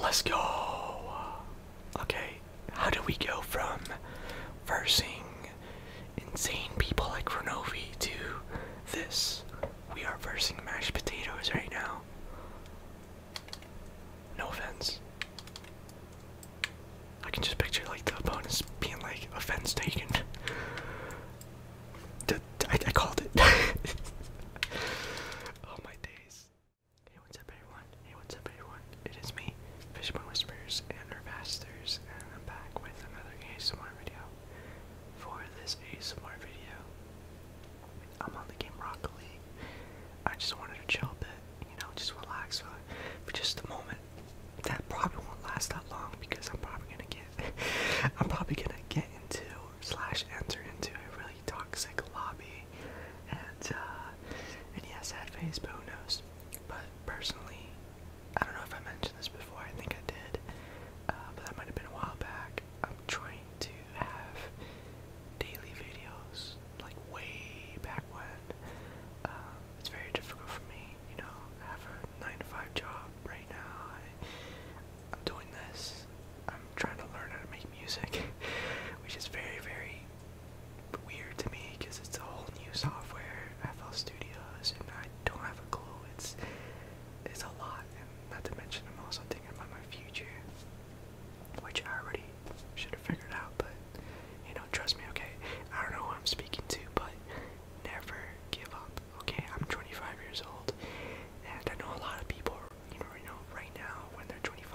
Let's go. Okay, how do we go from versing insane people like Renovi to this? We are versing mashed potatoes right now. No offense. I can just picture like the opponents being like offense taken. I, called it. oh my days. Hey, what's up, everyone? Hey, what's up, everyone? It is me, Fishbone Whispers and Herbasters, and I'm back with another ASMR video. For this ASMR video, I'm on the game Rocket I just wanted to chill a bit, you know, just relax for, just a moment. That probably won't last that long because I'm probably gonna get, I'm probably gonna get into slash enter into a really toxic lobby, and uh, and yeah, sad face, who knows? But personally, I don't know if I mentioned this before. I think I did, uh, but that might have been a while back. I'm trying to have daily videos like way back when. Um, it's very difficult for me, you know. I have a nine to five job right now. I'm doing this. I'm trying to learn how to make music, which is very, very weird to me because it's a whole new software, FL Studios, and I don't have a clue. It's it's a lot, and not to mention I'm also thinking about my future which I already should have figured out, but you know, trust me, okay? I don't know who I'm speaking to, but never give up, okay? I'm 25 years old, and I know a lot of people, you know, you know right now when they're 25,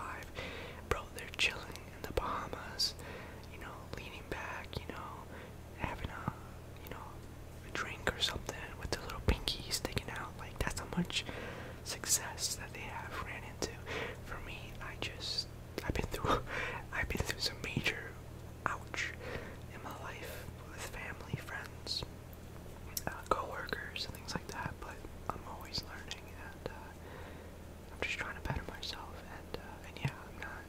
bro, they're chilling in the Bahamas, you know, leaning back, you know, having a, you know, a drink or something with their little pinkies sticking out now. Like that's how much success that they have ran into. For me, I just I've been through I've been through some major ouch in my life with family, friends, uh, co-workers, and things like that. But I'm always learning, and uh, I'm just trying to better myself. And uh, and yeah, I'm not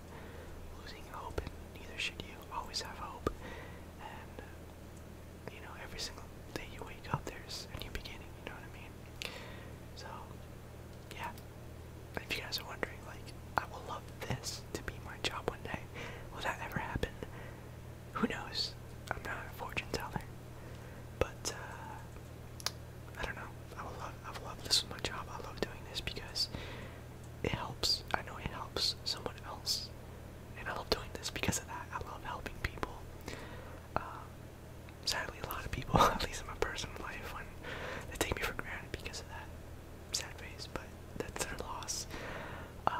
losing hope, and neither should you. Always have hope, and uh, you know, every single day you wake up, there's a new beginning, you know what I mean? So, yeah. If you guys are wondering, like, I will love this to be my job one day. Will that ever happen? Who knows? I'm not a fortune teller. But, uh, I don't know. I will love, I will love this is my job. I love doing this because it helps. I know it helps someone else and I love doing this because of that. I love helping people. Um, sadly, a lot of people, at least in my personal life, when they take me for granted because of that sad face, but that's their loss. Uh,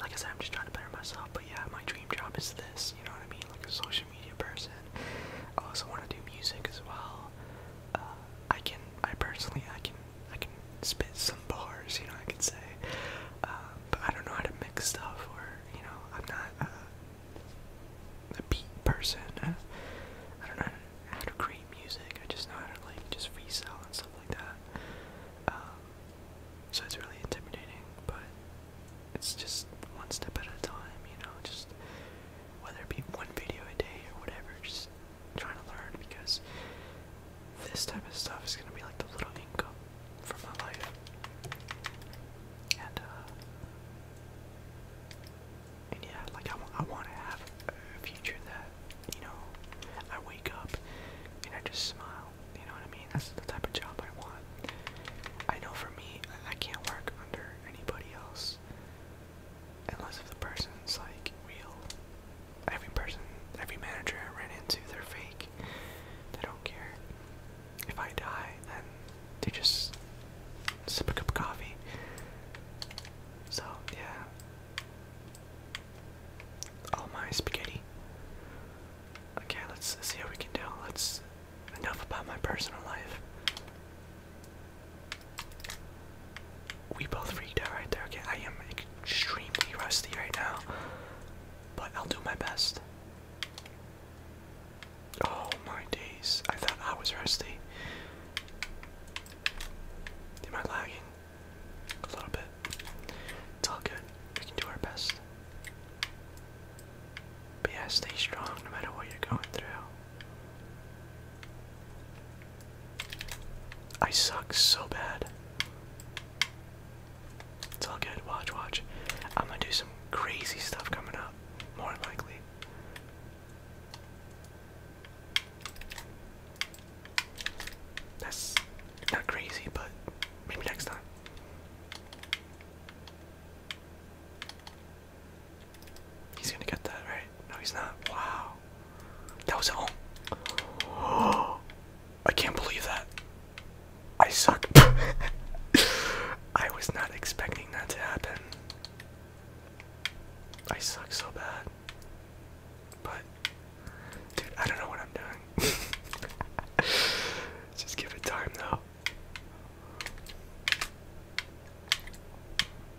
like I said, I'm just trying to better myself, but yeah, my dream job is this, you know what I mean? Like a social media person. I also want to do music as well. Uh, I can, I personally, I can, I can spit so some bars, you know, I could say. Um, but I don't know how to mix stuff, or, you know, I'm not a, a beat person. I, I don't know how to, how to create music, I just know how to, like, just freestyle and stuff like that. Um, so it's really intimidating, but it's just one step at a time, you know, just whether it be one video a day or whatever, just trying to learn because this type of stuff is gonna be like the little income for my life. Uh, and, yeah, like I, I want to have a future that, you know, I wake up and I just smile. You know what I mean? That's the type of job I want. I know for me, I can't work under anybody else unless if the person's like real. Every person, every manager I ran into, they're fake. Like, they don't care. If I die, then they just sip a cup of coffee. So, yeah. All my spaghetti. Okay, let's see how we can do. Let's. Enough about my personal life. We both freaked out right there. Okay, I am extremely rusty right now but I'll do my best. Oh my days. I thought I was rusty. Am I lagging? A little bit. It's all good. We can do our best. yeah, stay strong no matter what you're going through. I suck so bad. It's all good. Watch, watch. I'm gonna do some crazy stuff coming up, more than likely. That's not crazy, but maybe next time. He's gonna get that, right? No, he's not. Wow. That was at home. I can't believe that. I suck. I was not expecting that to happen. I suck so bad. But, dude, I don't know what I'm doing. Just give it time, though.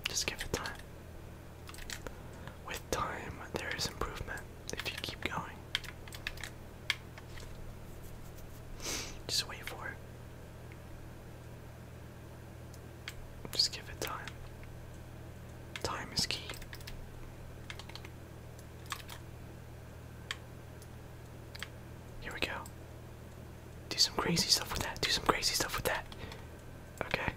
Just give it time. With time, there is improvement if you keep going. Just wait for it. Just give it time. Time is key. Here we go. Do some crazy stuff with that. Do some crazy stuff with that. Okay.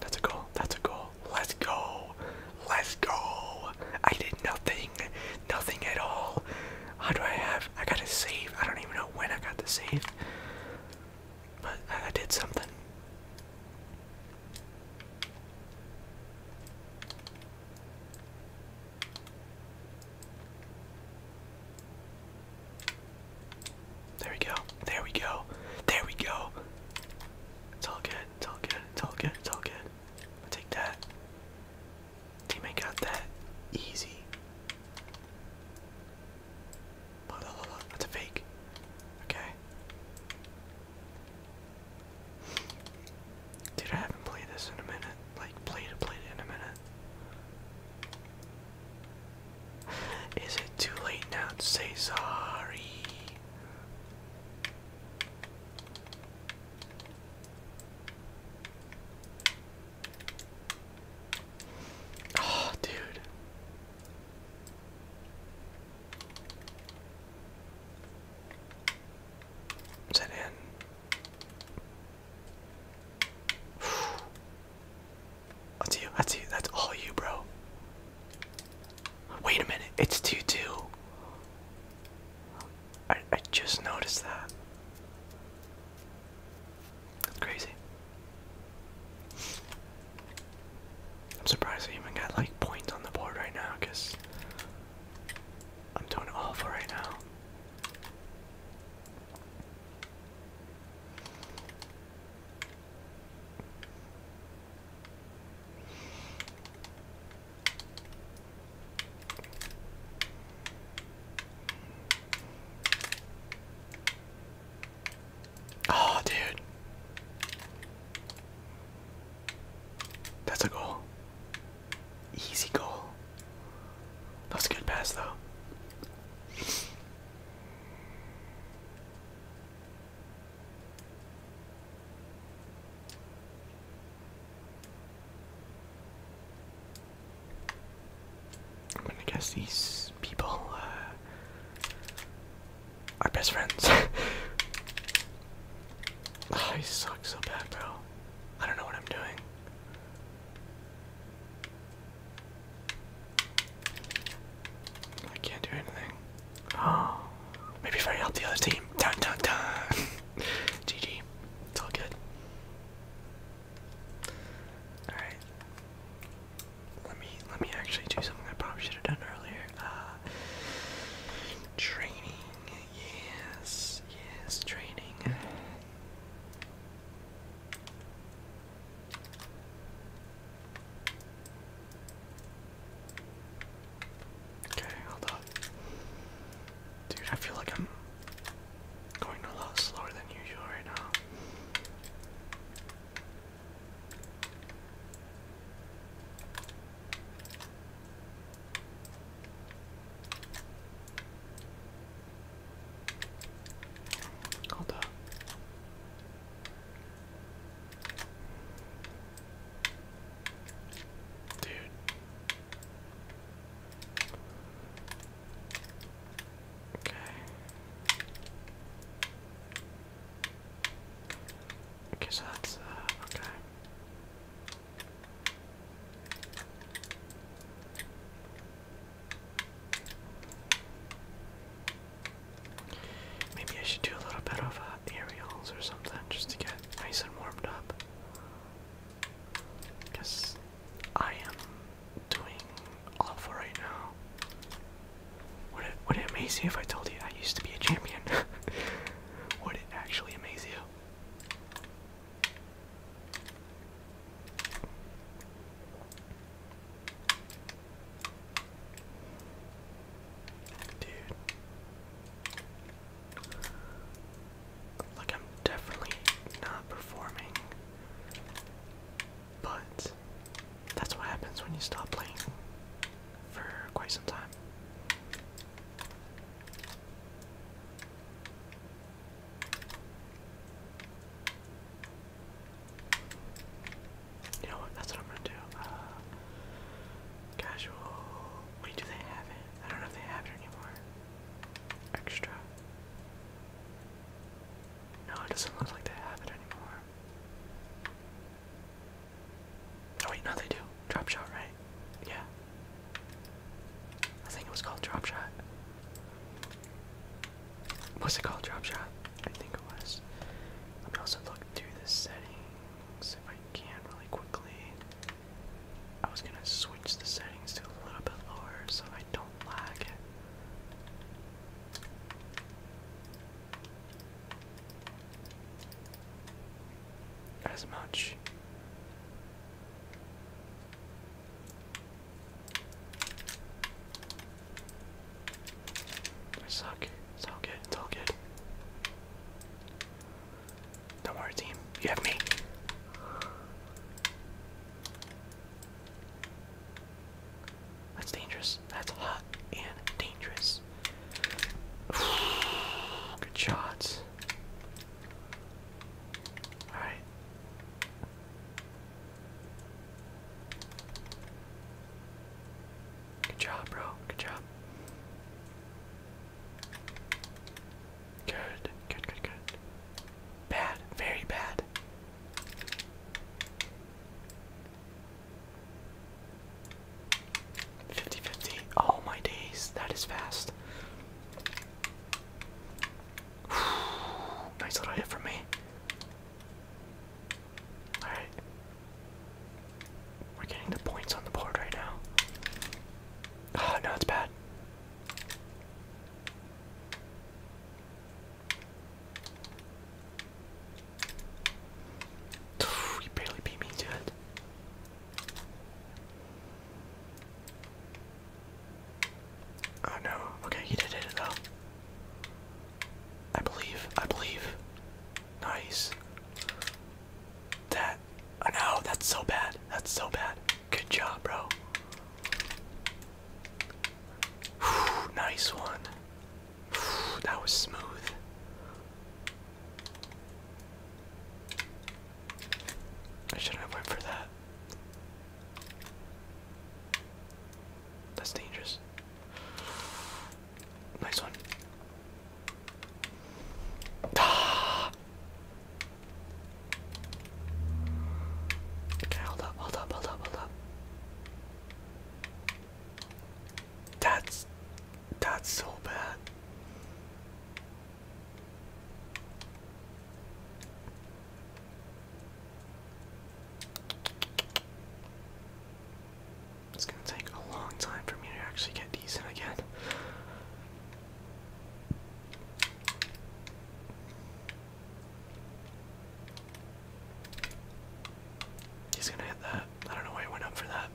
That's a goal. That's a goal. Let's go. Let's go. I did nothing. Nothing at all. How do I have? I got a save. I don't even know when I got the save. But I did something. There we go. There we go. There we go. It's all good. It's all good. It's all good. It's all good. I'll take that. Teammate got that. Easy. That's a fake. Okay. Dude, I haven't played this in a minute like play to play in a minute. Is it too late now to say sorry? Oh, dude. Is in? That's you. That's you. That's all you, bro. Wait a minute. It's 2 too. I, I just noticed that. That's crazy. I'm surprised I even got like points on the board right now because I'm doing awful right now. Oh, dude. That's a goal. Easy goal. That's a good pass, though. I'm gonna guess these people uh, are best friends. I oh, suck so bad, bro. I don't know what I'm doing. I can't do anything. Oh, maybe if I help the other team. Dun dun dun. GG. It's all good. All right. Let me let me actually do something I probably should have done earlier. Uh, training. Yes. Yes. Training. Okay, hold up. Dude, I feel like I'm going a lot slower than usual right now. Hold up. Dude. Okay. Okay, so that's, uh, okay. Maybe I should do a little bit of uh, aerials or something just to get nice and warmed up. Because I am doing awful right now. Would it, would it amaze you if I told you I used to be a champion? would it actually amaze you? Dude. Like, I'm definitely not performing. But that's what happens when you stop playing for quite some time. You know what? That's what I'm gonna do. Uh, casual. Wait, do they have it? I don't know if they have it anymore. Extra. No, it doesn't look like they have it anymore. Oh wait, no, they do. Drop shot, right? Yeah. I think it was called Drop Shot. What's it called? Drop Shot? I think it was. Let me also look through the settings if I can really quickly. I was gonna switch the settings to a little bit lower so I don't lag. As much. I suck. It's all good. It's all good. Don't worry, team. You have me. That's dangerous. That's hot and dangerous. Good shots. Alright. Good job, bro. Good job. Good. Good, good, good. Bad. Very bad. Fifty fifty. Oh my days, that is fast. nice little hit from me. Alright. We're getting the points on the board right now. Oh, no, it's bad. you barely beat me to Oh no. Okay, he did hit it though. I believe. I believe. Nice. That. Oh no, that's so bad. That's so bad. Good job, bro. nice one. that was smooth. shouldn't went for that. That's dangerous. Nice one. Ah! Okay, hold up, hold up, hold up, hold up. That's that's so bad. It's gonna take a long time for me to actually get decent again. He's gonna hit that. I don't know why he went up for that.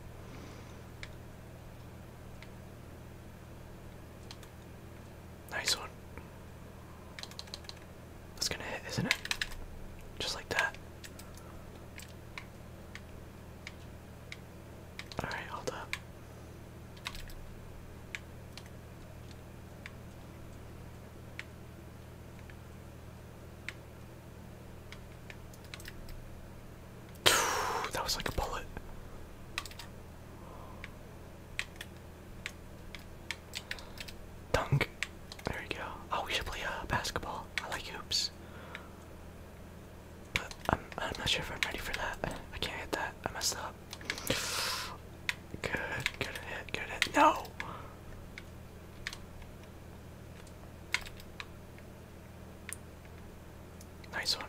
Nice one. That's gonna hit, isn't it? Just like that. Alright, hold up. that was like a bullet. Dunk. There we go. Oh, we should play uh, basketball. I like hoops. But I'm, I'm not sure if I'm ready for that. I can't hit that. I messed up. Good, good hit, good hit. No! Nice one.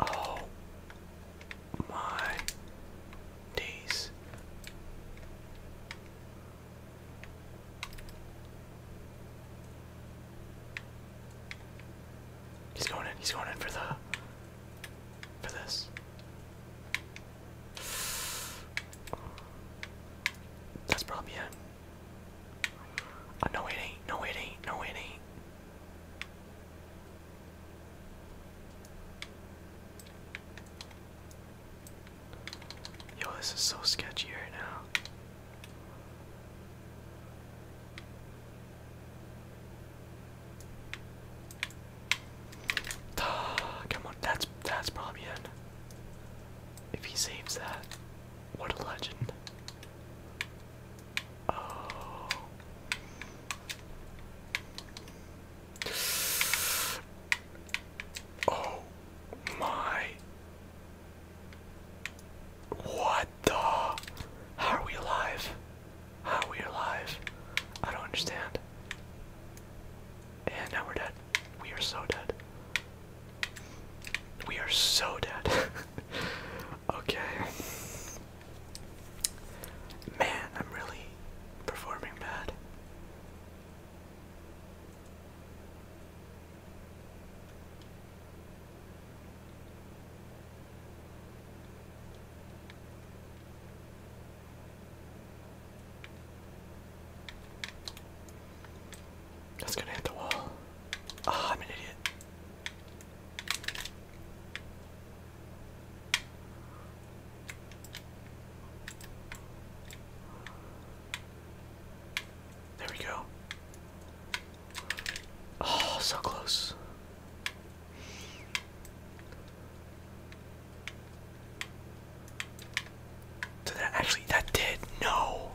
Oh my days. He's going in, he's going in for the for this. That's probably it. Oh, no, it ain't. No, it ain't. No, it ain't. Yo, this is so sketchy right now. Come on, that's that's probably it. If he saves that, what a legend. Oh. oh. my. What the? How are we alive? How are we alive? I don't understand. And now we're dead. We are so dead. We are so dead. Okay. Man, I'm really performing bad. That's gonna hit the wall. Ah, oh, I'm an idiot. There we go. Oh, so close. Did that actually that did? No.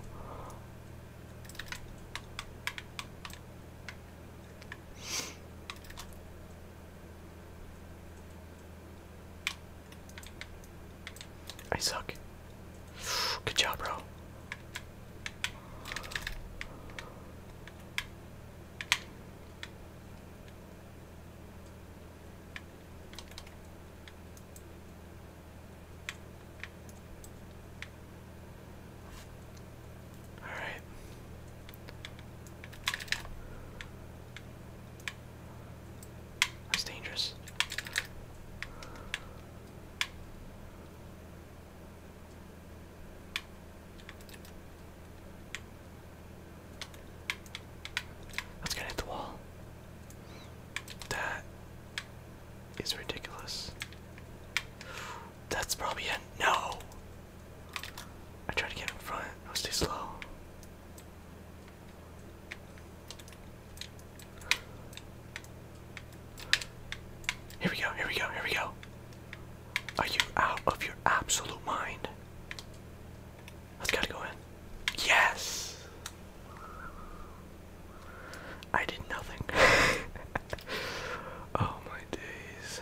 I suck. Good job, bro. Alright. That's dangerous. That's gonna hit the wall. That is ridiculous. That's probably a no. I tried to get in front, I was too slow. Here we go, here we go, here we go. Are you out of your absolute mind? That's gotta go in. Yes! I did nothing. oh my days.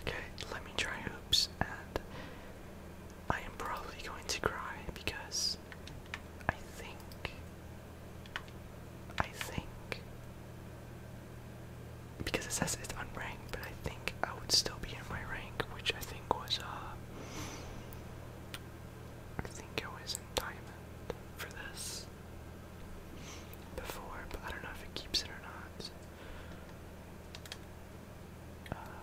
Okay, let me try hoops, and I am probably going to cry because I think. I think. Because it says it's unranked, but I think I would still be in my rank, which I think was, uh. I think I was in diamond for this before, but I don't know if it keeps it or not. Uh,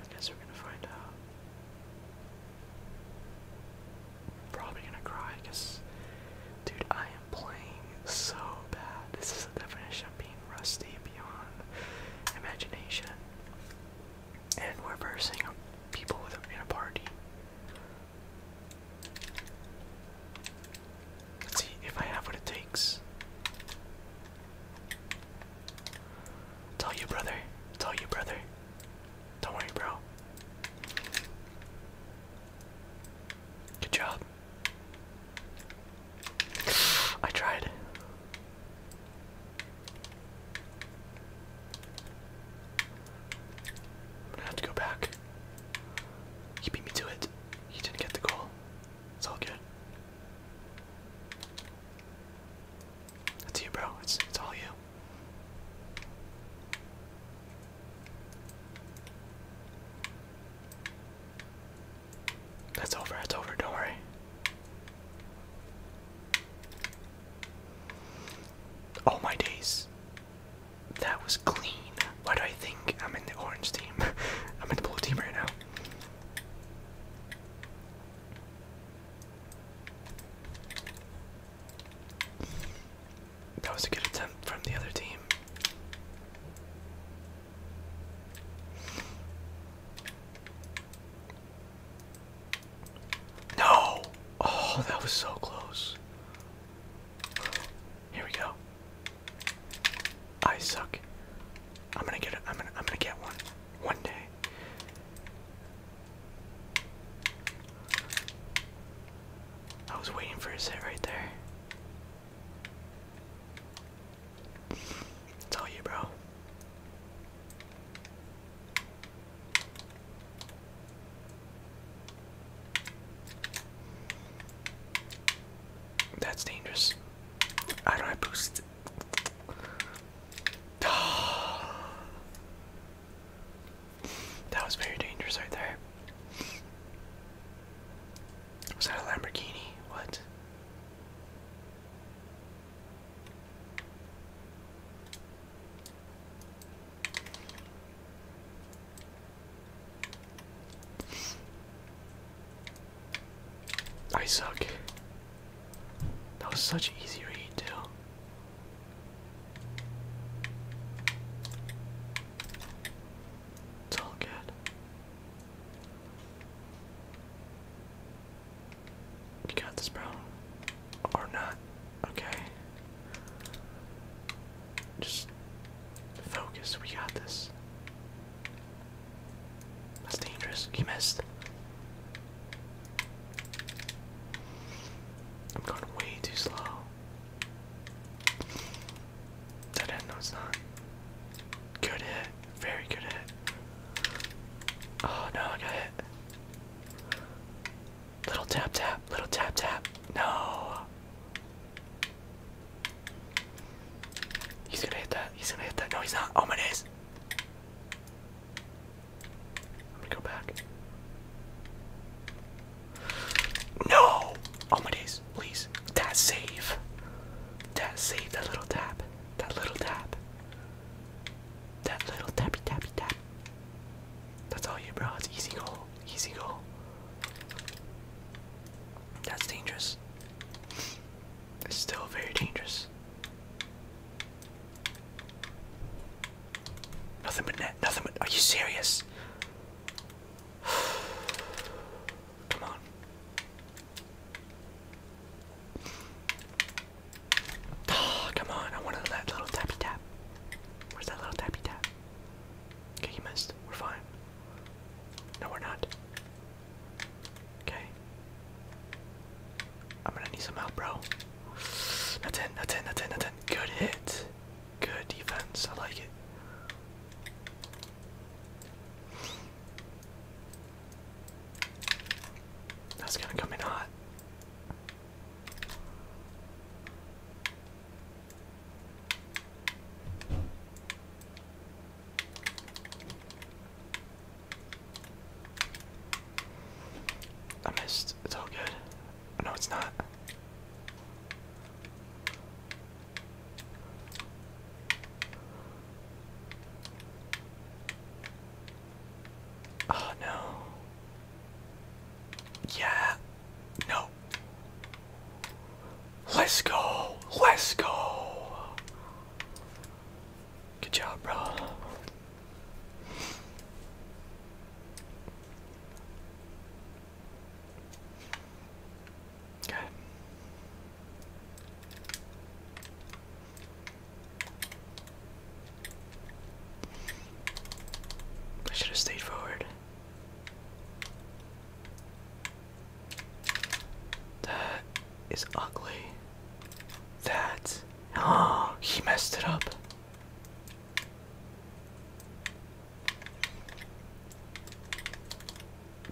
I guess we're gonna find out. Probably gonna cry because, dude, I am playing so bad. This is the definition of being rusty beyond imagination. And we're versing people with a, a party. Let's see if I have what it takes. Tell you, brother. Tell you, brother. Don't worry, bro. Good job. I tried. I'm gonna have to go back. He beat me to it. He didn't get the call. It's all good. That's you, bro. It's it's all you. That's over. That's over. Don't worry. All my days. That was clean. Why do I think I'm in the orange team? I'm in the blue team right now. That was a good attempt from the other team. No! Oh, that was so close. Here we go. I suck. I'm gonna get it. I'm gonna. I'm gonna get one. One day. I was waiting for a set right there. It's all you, bro. That's dangerous. How do I boost? that was very dangerous right there. Was that a Lamborghini? What? I suck. That was such easy read too. It's all good. You got this, bro. Or not. Okay. Just focus. We got this. That's dangerous. You missed. I'm going way too slow. no, it's not. Good hit. Very good hit. Oh no, I got hit. Little tap tap, little tap tap. No. He's gonna hit that. He's gonna hit that. No, he's not. Oh my days. I'm go back. No! Oh my days, please. That save. That save, that little tap. That little tap. That little tappy tappy tap. That's all you, bro. It's easy goal. Easy goal. That's dangerous. It's still very dangerous. Nothing but net. Nothing but. Are you serious? Come on. Oh, come on. I wanted that little tappy tap. Where's that little tappy tap? Okay, you missed. We're fine. No, we're not. Okay. I'm gonna need some help, bro. That's it, that's it, that's it, that's it. Good hit. Good defense. I like it. That's gonna come in hot. I missed. It's all good. Oh, no, it's not. Oh no. Yeah. No. Let's go. Let's go. Good job, bro. Okay. I should have stayed forward. That is ugly. That. Oh, he messed it up.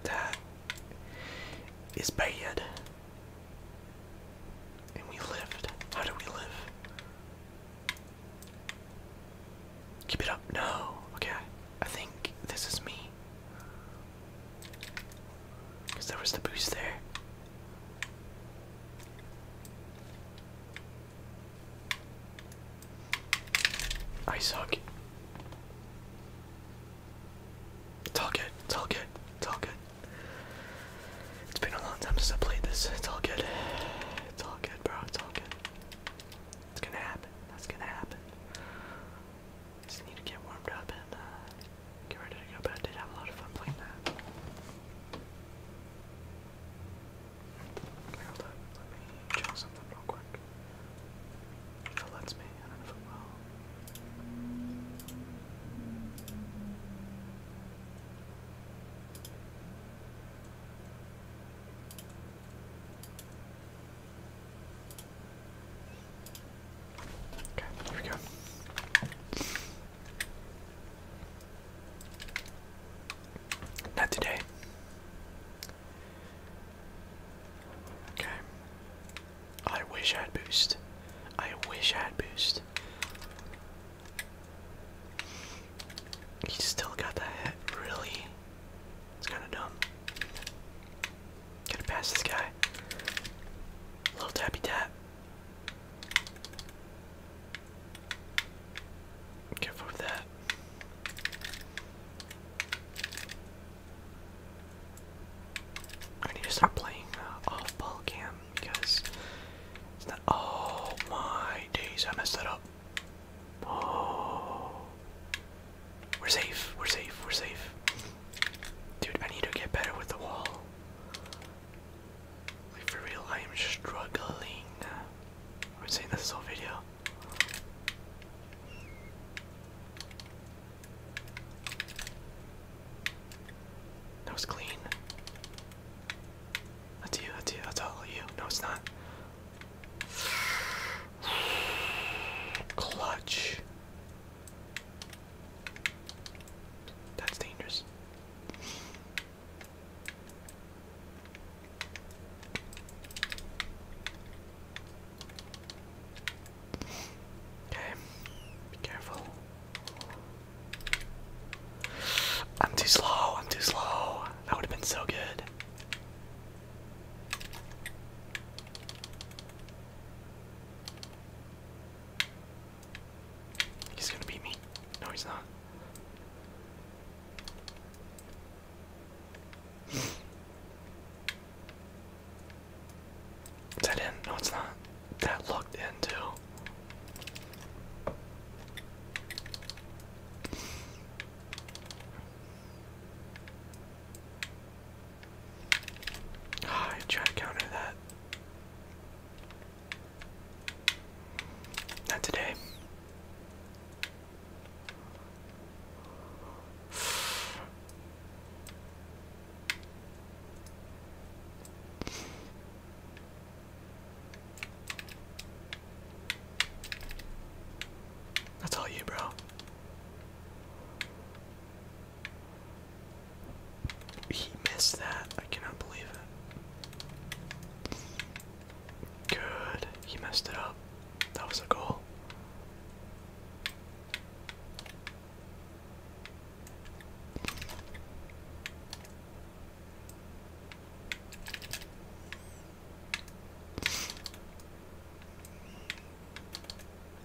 That is bad. And we lived. How do we live? Keep it up. No. Okay. I think this is me. Because there was the boost there. I suck. It's all good. It's all good. It's all good. It's been a long time since I played this. It's all good. It's all good bro. It's all good. It's gonna happen. That's gonna happen. Just need to get warmed up and uh, get ready to go. But I did have a lot of fun playing that. Hold up. Let me check something real quick. it lets me, Okay, there we go. Not today. Okay. I wish I had boost. I wish I had boost. He still got that hit, really? It's kinda dumb. Gotta pass this guy. Little tappy tap. Careful with that. I need to start playing uh, off ball cam because it's not. Oh my days! I messed that up. Oh, we're safe. We're safe. We're safe. Dude, I need to get better with the wall. Like for real, I am struggling. I've saying this whole video. That was clean. That's you, that's you, that's all you. No, it's not. Clutch. That's dangerous. Okay, be careful. I'm too slow, I'm too slow. That would have been so good. He's gonna beat me. No, he's not. Is that in? No, it's not. That looked into. Ah, I try to counter that. Not today. That's all you, bro. He missed that. I cannot believe it. Good. He messed it up. That was a goal.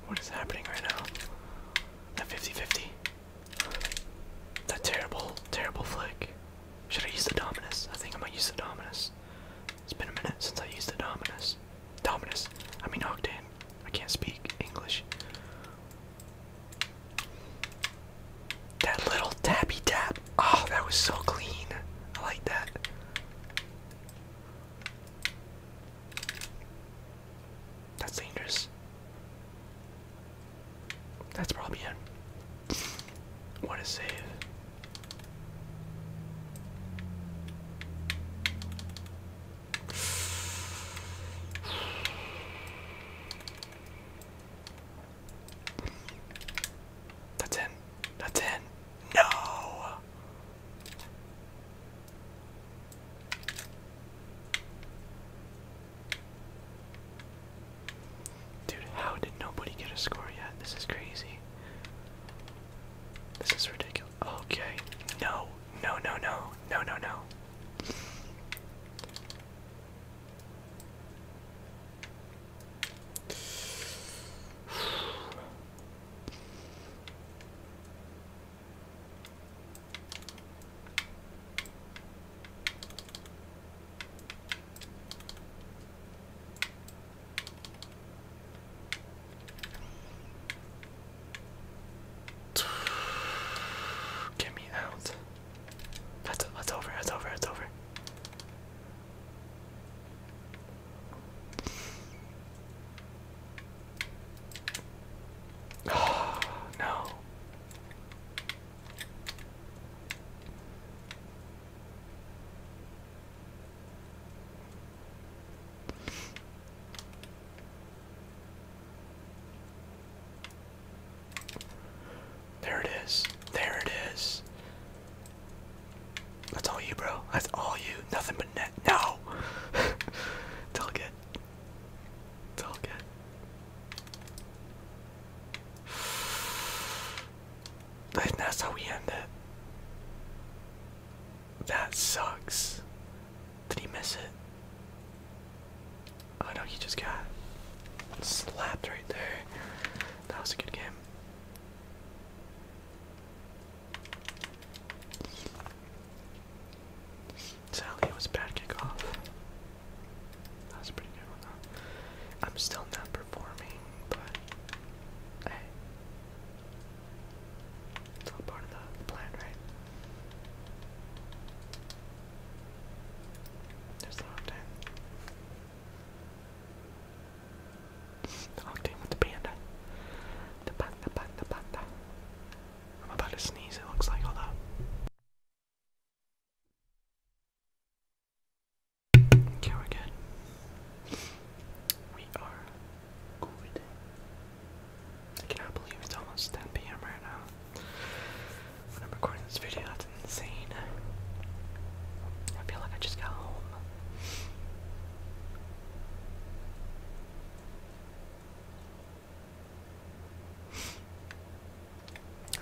What is happening right now? That 50-50. That terrible, terrible flick. Should I use the Dominus? I think I might use the Dominus. It's been a minute since I used the Dominus. Dominus. I mean Octane. I can't speak English. That little tappy tap. Oh, that was so clean. I like that. That's dangerous. That's probably it. What a save. That's in. That's in. No. Dude, how did nobody get a score yet? This is crazy. This is ridiculous. Okay. No. No, no, no. No, no, no. Get me out. That's that's over. That's over. That's over. no. There it is. There it is. That's all you, bro. That's all you. Nothing but net. No! it's all good. It's all good. that's how we end it. That sucks. Did he miss it? Oh no, he just got slapped right there. That was a good game. Sadly, it was a bad kickoff. That was a pretty good one, I'm still not performing, but hey. It's all part of the plan, right? There's octane. octane with the panda. The panda, panda, panda. I'm about to sneeze, it looks like, hold Okay, we're good. We are good. I cannot believe it's almost 10 p.m. right now. I'm recording this video, that's insane. I feel like I just got home.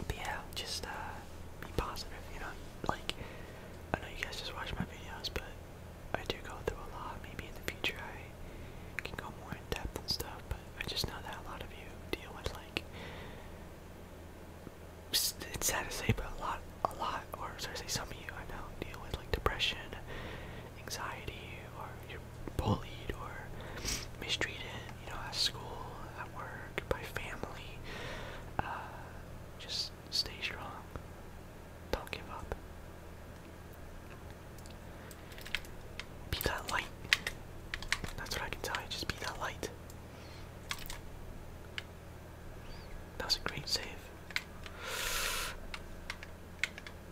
But yeah, just uh, be positive, you know, like, I know you guys just watch my videos, but I do go through a lot, maybe in the future I can go more in depth and stuff, but I just know that a lot of you deal with, like, it's sad to say, but a lot, a lot, or sorry to say, some of you I know deal with like depression, anxiety, or you're bullied or mistreated, you know, at school, at work, by family. Uh, just stay strong. Don't give up. Be that light. That's what I can tell you. Just be that light. That was a great save.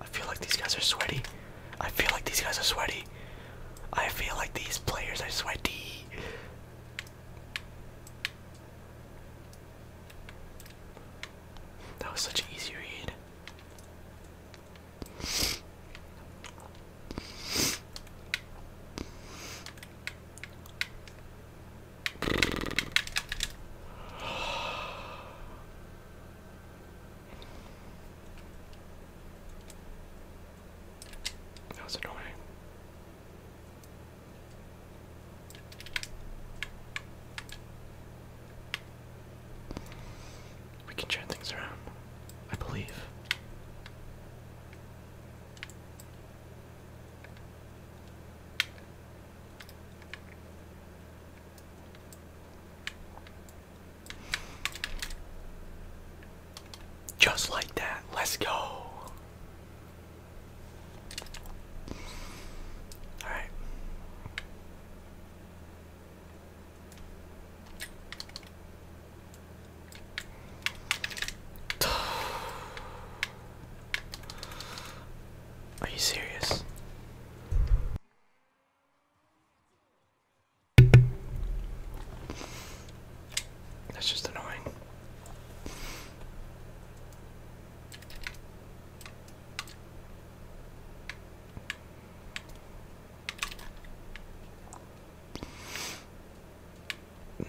I feel like these guys are sweaty. I feel like these guys are sweaty. I feel like these players are sweaty. That was such an easy read. That was annoying. We can turn things around, I believe. Just like that, let's go. All right. Are you serious? That's just annoying.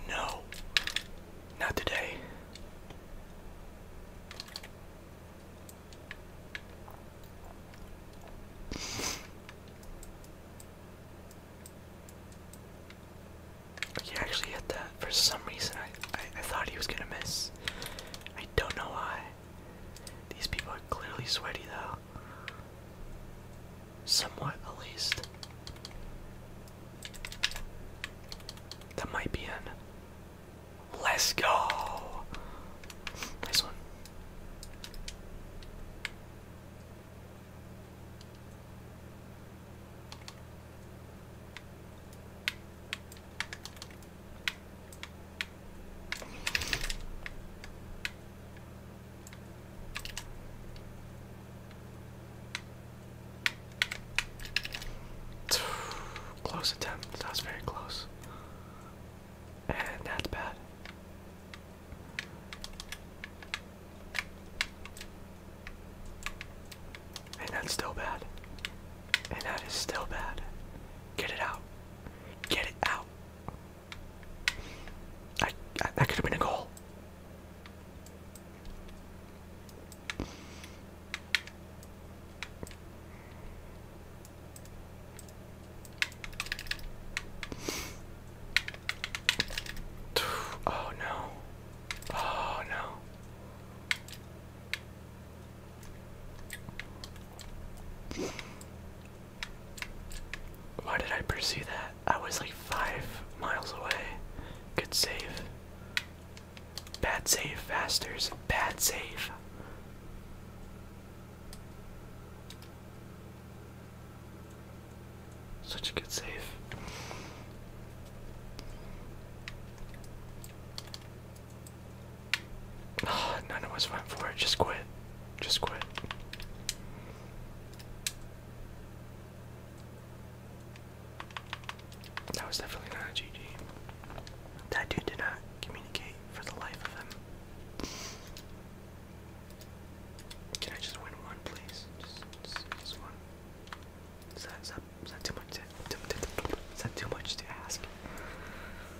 No, not today. He actually hit that. For some reason, I, I I thought he was gonna miss. I don't know why. These people are clearly sweaty though. Somewhat at least. That might be in. Let's go! Nice one. Close attempt, that was very close. And that's bad. And that's still bad. And that is still bad. Get it out. Get it out out. that could have been a goal. Oh no. Oh no. Why did I pursue that? I was like five miles away. Good save. Bad save, Fasters. Bad save. Such a good save. none of us went for it. Just quit. Just quit. That was definitely not a GG. That dude did not communicate for the life of him. Can I just win one, please? is that too much to ask?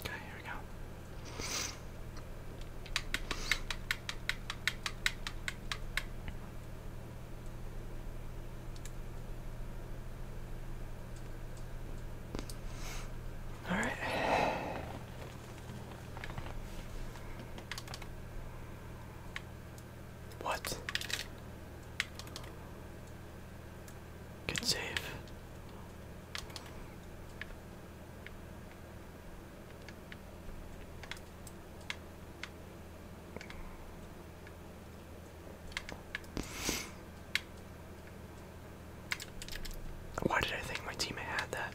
Okay, here we go. All right. What? Good save. Why did I think my teammate had that?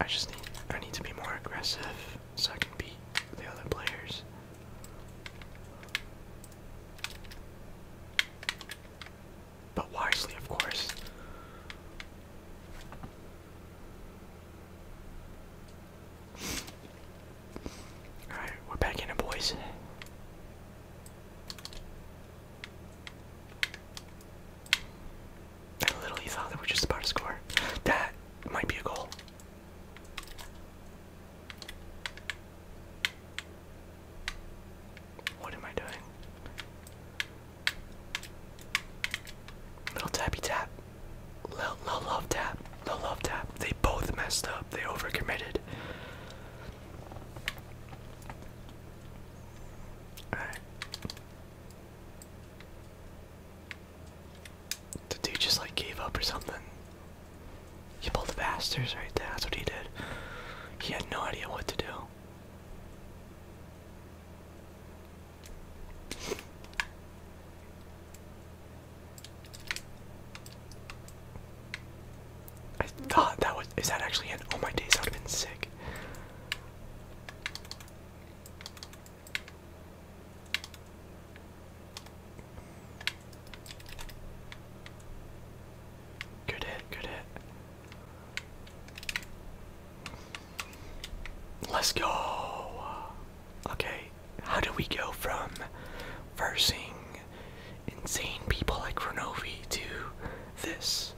I just need I need to be more aggressive so I can beat the other players. But wisely, of course. Alright, we're back in it, boys. I literally thought that we were just about to score. That might be a goal. What am I doing? Little tappy tap. little love tap. Little love tap. They both messed up. They overcommitted. The dude just like gave up or something. He pulled the bastards right there, that's what he did. He had no idea what to do. I thought that was. Is that actually it? Oh my days, that would have been sick. Good hit, good hit. Let's go. Okay, how do we go from versing insane people like Renovi do this.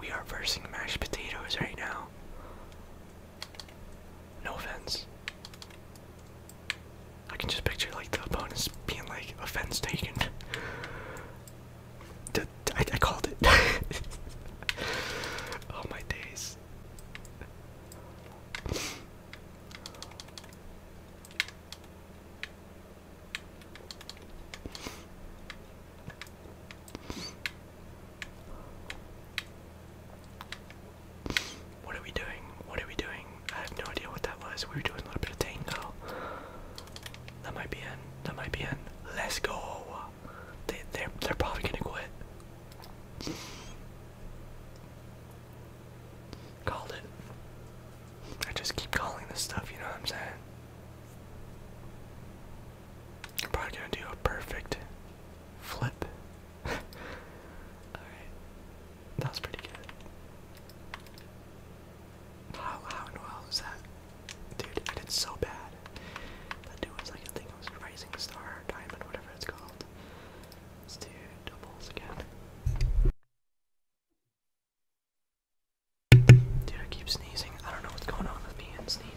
We are versing mashed potatoes right now. No offense. I can just picture like the opponents being like offense taken. I called it. oh my days. What are we doing? What are we doing? I have no idea what that was. We were doing a little bit of taint That might be in. That might be in. Let's go. They they're they're probably gonna quit. Called it. I just keep calling this stuff, you know what I'm saying? I'm probably gonna do a perfect flip. Alright. That was pretty good. How how in the that? Dude, I did so bad. That dude was like I think it was Rising Star Diamond, whatever it's called. Let's do doubles again. Dude, I keep sneezing. I don't know what's going on with me and sneezing.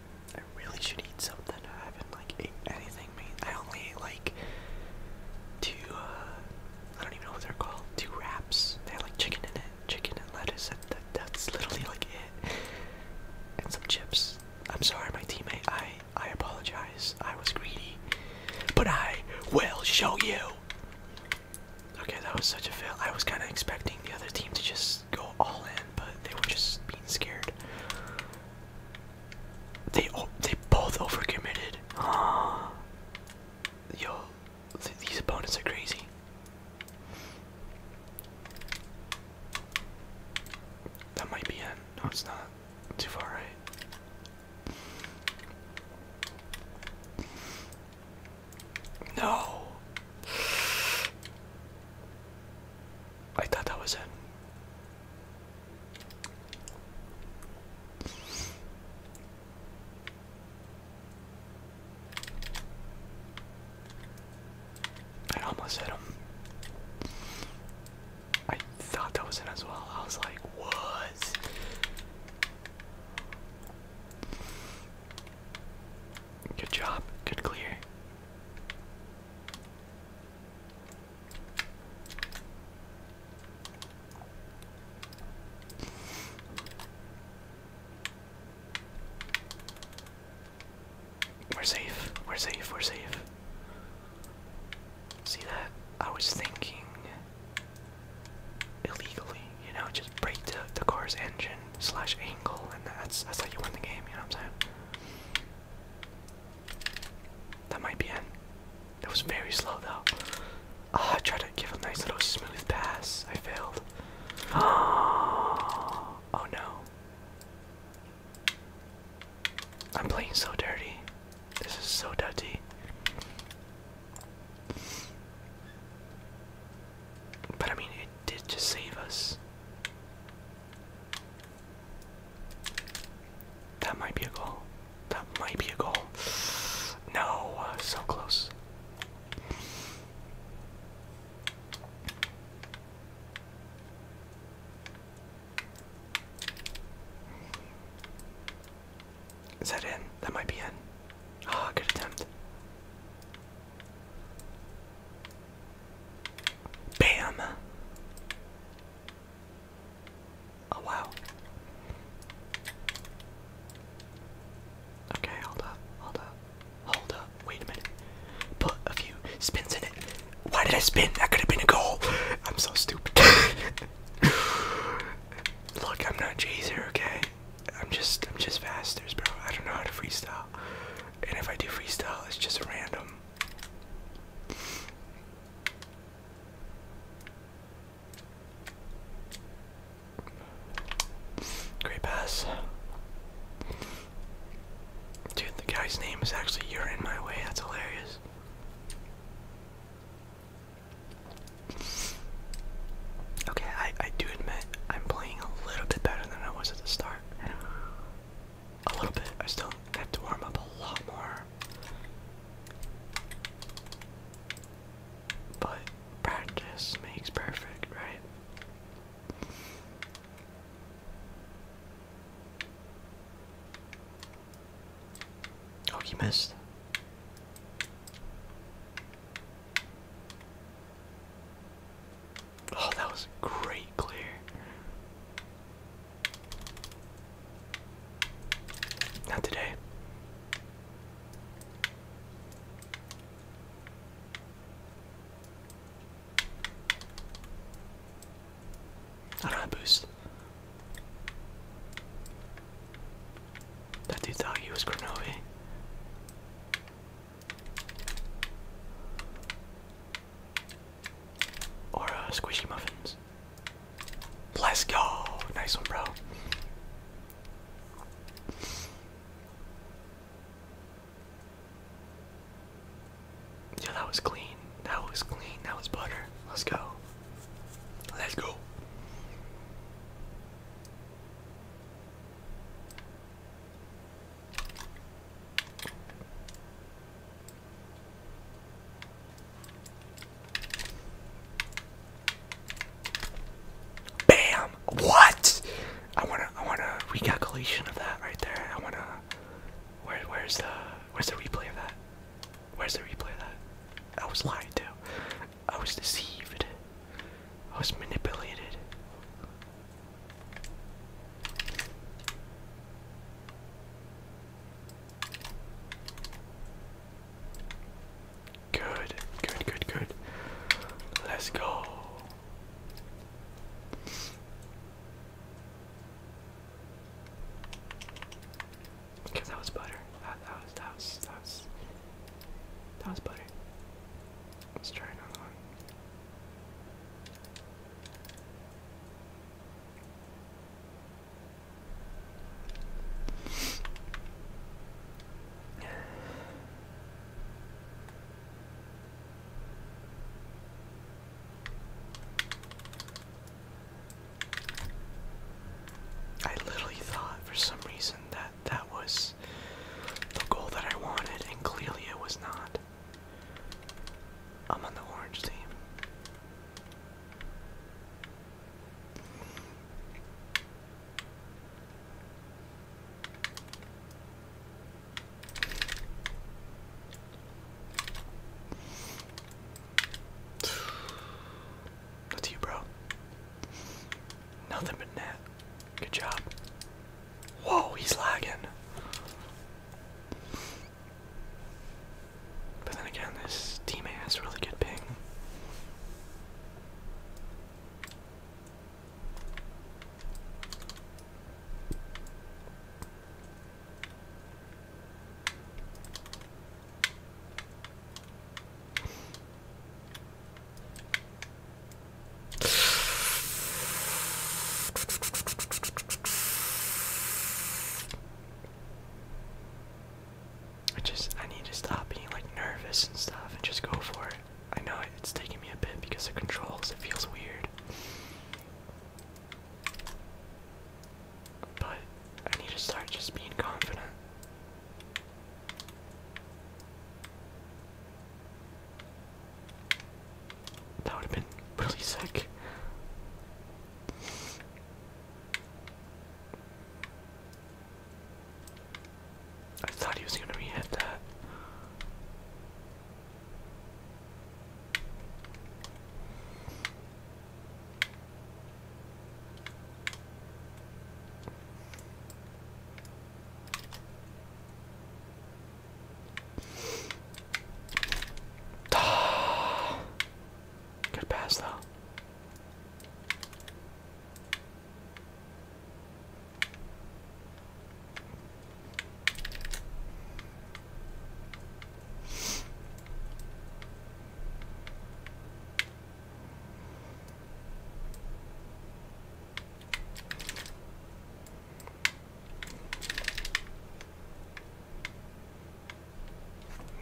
I really should eat something. I haven't like eaten anything. I only ate like two. Uh, I don't even know what they're called. Two wraps. They had like chicken in it, chicken and lettuce. That, that's literally like it. And some chips. I'm sorry, my teammate. I I apologize. I was greedy, but I will show you. Okay, that was such a fail. I was kind of expecting the other team to just go all in, but they were just being scared. They oh, they both overcommitted. Ah, yo, these opponents are crazy. That might be in. No, it's not. Too far right. No. I thought that was it. I almost hit him. I thought that was in as well. I was like, "Whoa!" Good job. Good clear. We're safe. We're safe. We're safe. See that? I was thinking illegally, you know, just break the, the car's engine slash angle, and that's that's how you win the game. You know what I'm saying? That might be in. That was very slow though. Ah, I tried to give a nice little smooth pass. I failed. Oh, oh no. I'm playing so dirty. This is so dirty. But I mean, it did just save us. That might be a goal. That might be a goal. No, so close. Is that in? That might be in. Ah, good attempt. Bam! Oh wow. Okay, hold up, hold up, hold up, wait a minute. Put a few spins in it. Why did I spin? That could have been a goal. I'm so stupid. Look, I'm not Jazer, okay? I'm just I'm just fasters, bro. I don't know how to freestyle. And if I do freestyle, it's just random. Great pass. Dude, the guy's name is actually You're In My Way. That's hilarious. Okay, I, I do admit I'm playing a little bit better than I was at the start a little bit. I still have to warm up a lot more. But practice makes perfect, right? Oh, he missed. Oh, that was a great clear. Not today. I don't have boost. That dude thought he was Grenovi. Or uh, squishy muffins. Let's go! Nice one, bro. Yeah, that was clean. That was clean. That was butter. Let's go. Let's go. Bam! What? I wanna I want a recalculation of that right there. I wanna where where's the where's the replay of that? Where's the replay of that? I was lied to. I was deceived. I was manipulated. Good, good, good, good. Let's go. Okay, that was butter. That, that was, that was, that was, that was butter. Let's try another one. I literally thought for some reason that that was the goal that I wanted, and clearly it was not. I'm on the orange team. That's you, bro. Nothing but net. Good job. Whoa, he's lagging. But then again, this teammate has really good ping. I just I need to stop being like nervous and stuff and just go for it. I know it's taking me a bit because of controls, it feels weird. But I need to start just being confident. That would have been really sick. I thought he was gonna re-hit that. Good pass though.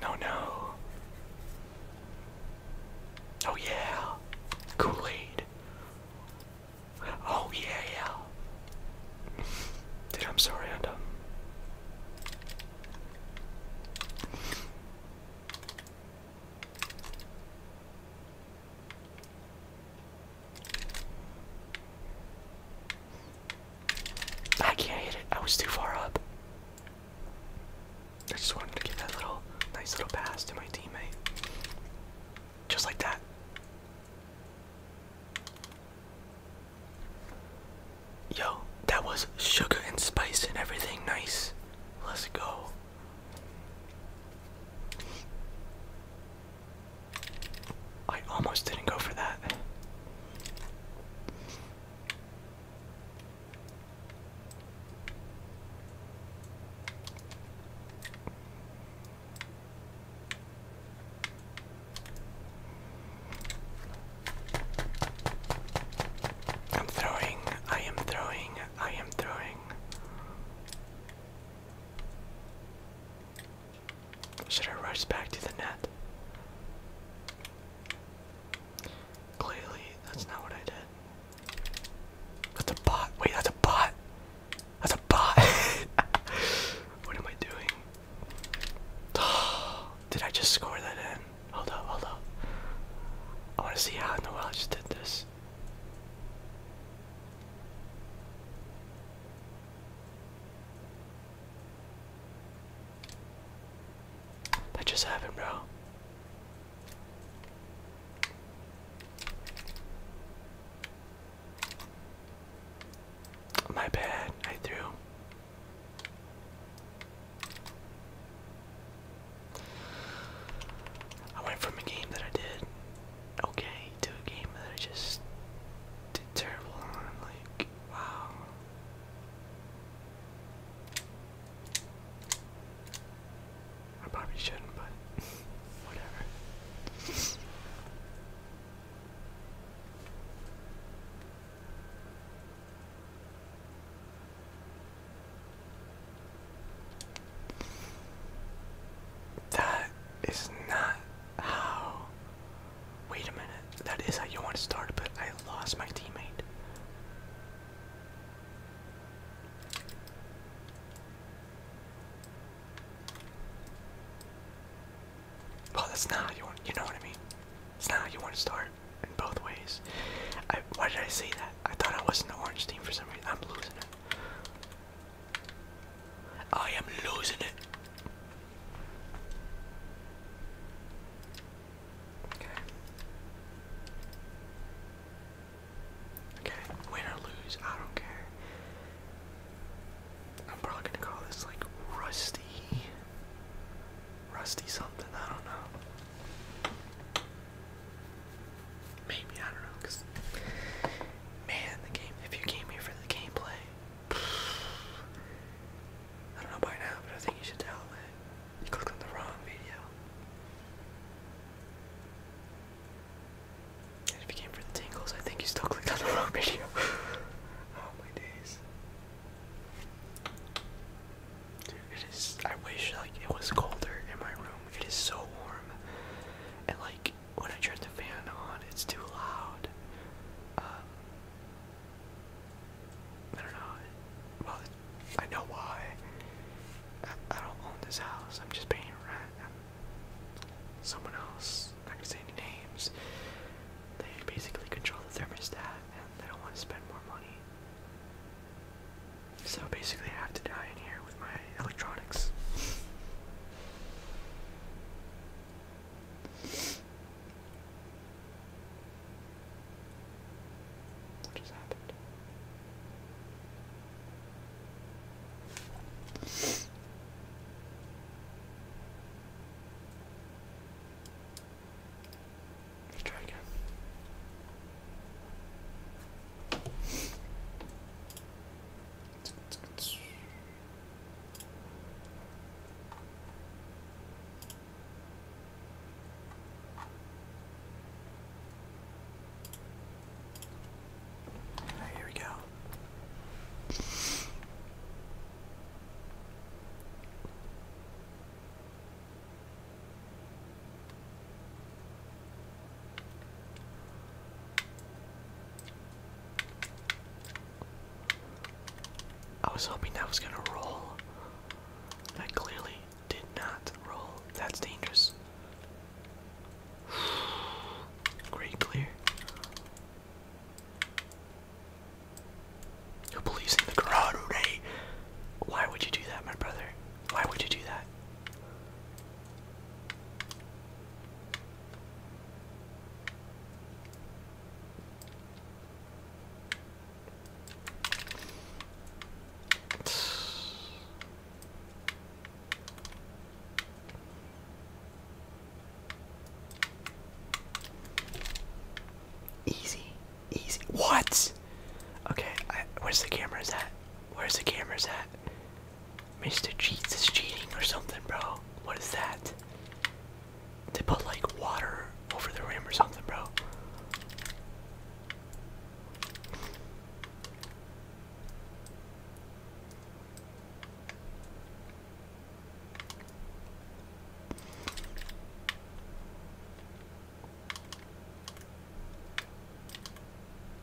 No, no. Oh, yeah. Kool Aid. Oh, yeah, yeah. Dude, I'm sorry, I'm done. I can't hit it. I was too far up. I just wanted to give that little nice little pass to my teammate. Just like that. Yo, that was sugar and spice and everything nice. Let's go. I almost didn't go for that. I'm throwing, I am throwing, I am throwing. Should I rush back to the net? Clearly, that's not what I did. That's a bot. Wait, that's a bot. That's a bot. what am I doing? did I just score that in? Hold up, hold up. I want to see how in the world I just did this. That just happened, bro. My bad, I threw. I went from a game that I did okay to a game that I just did terrible on. Like, wow. I probably shouldn't, but whatever. That is not how Wait a minute, that is how you want to start, but I lost my teammate. Well, that's not you you know what I mean? It's not you want to start in both ways. why did I say that? I thought I was in the orange team for some reason. I'm losing it. I am losing it. Okay. Okay, win or lose, I don't care. I'm probably gonna call this like rusty. Rusty something, I don't know. Maybe, I don't know, because man, the game if you came here for the gameplay, I don't know by now, but I think you should tell You clicked on the wrong video. if you came for the tingles, I think you still clicked on the wrong video. oh my days. it is. I wish like it was colder in my room. It is so warm, and like when I turn the fan on, it's too loud. Um, I don't know. Well, I know why. I, don't own this house. I'm just paying rent. I'm someone else. Not gonna say any names. They basically control the thermostat, and they don't want to spend more money. So basically, I have to die in here with my electronics. What just happened? try again. Right, here we go. I was hoping that was gonna roll. That clearly did not roll. That's dangerous. Great clear. Who believes in the karate? Why would you do that, my brother? Why would you do that? Easy, easy. What? Okay, where's the cameras at? Where's the cameras at? Mr. Cheats is cheating or something, bro. What is that? They put like water over the rim or something, bro.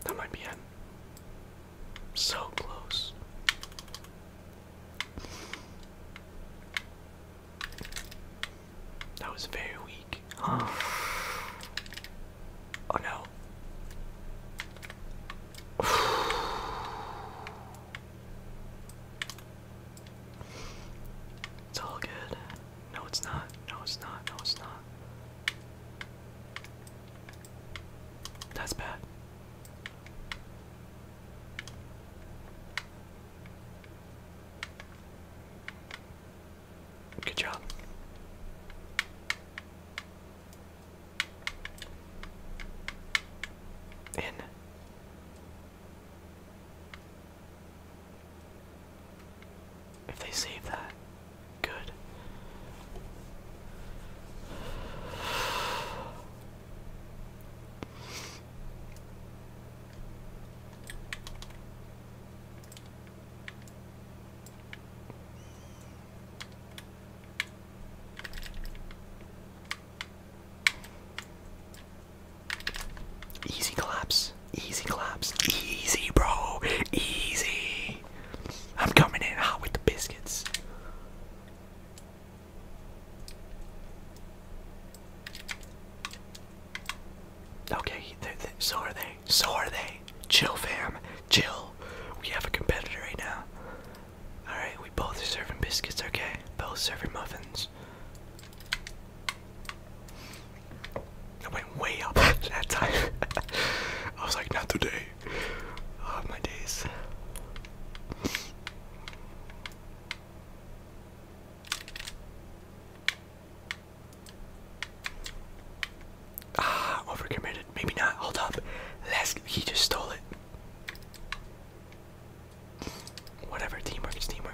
That might be it. So close. That was very weak. Oh no. It's all good. No, it's not. No, it's not. No, it's not. That's bad. Good job. In. If they save that, good. Easy collapse. Easy collapse. Easy, bro. Easy. I'm coming in hot with the biscuits. Okay, so are they. So are they. Chill, fam. Chill. We have a competitor right now. Alright, we both are serving biscuits, okay? Both serving muffins. I went way up that time. I was like, not today oh my days. Ah, overcommitted. Maybe not. Hold up. let He just stole it. Whatever. Teamwork is teamwork.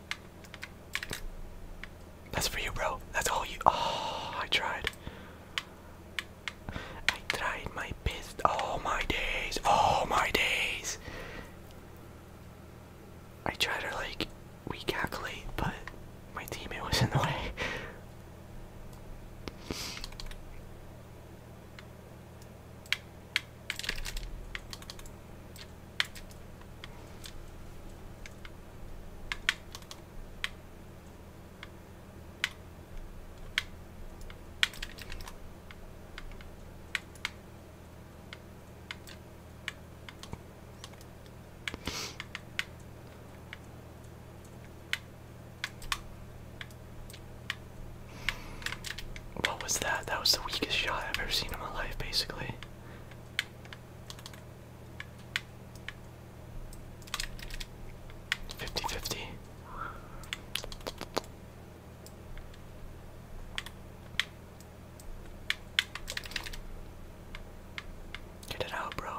That's for you, bro. That's all you. Oh, I tried. I tried my best. all my days. all my days. I tried to like recalculate, but my teammate was in the way. What was that? That was the weakest shot I've ever seen in my life, basically. Fifty fifty. Get it out, bro.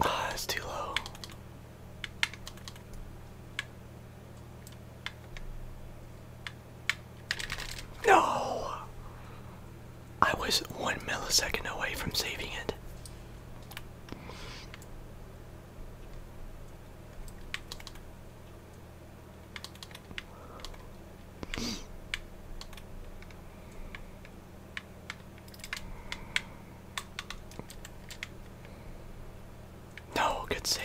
Ah, that's too low. No! I was one millisecond away from saving it. No, good save.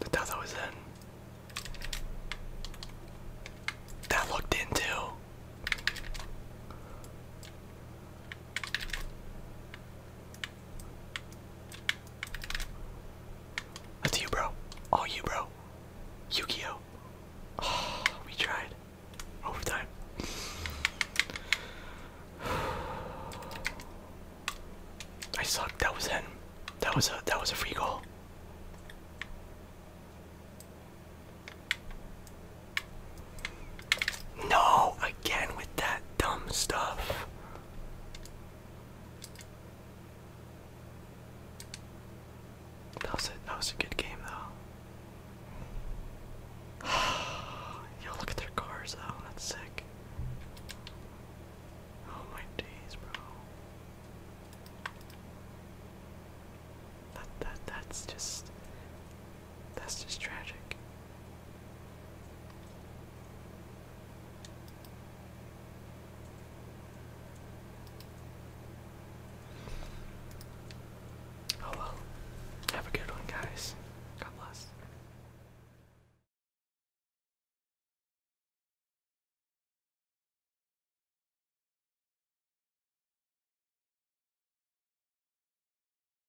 The thought was in. That looked in that's you, bro. All you, bro. yu we tried. Overtime. I sucked. That was him. That was a that was a free goal. No, again with that dumb stuff. That was a, that was a good game though. Yo, look at their cars though. That's sick. Oh my days, bro. That that that's just that's just tragic. Oh well. Have a good one, guys. God bless.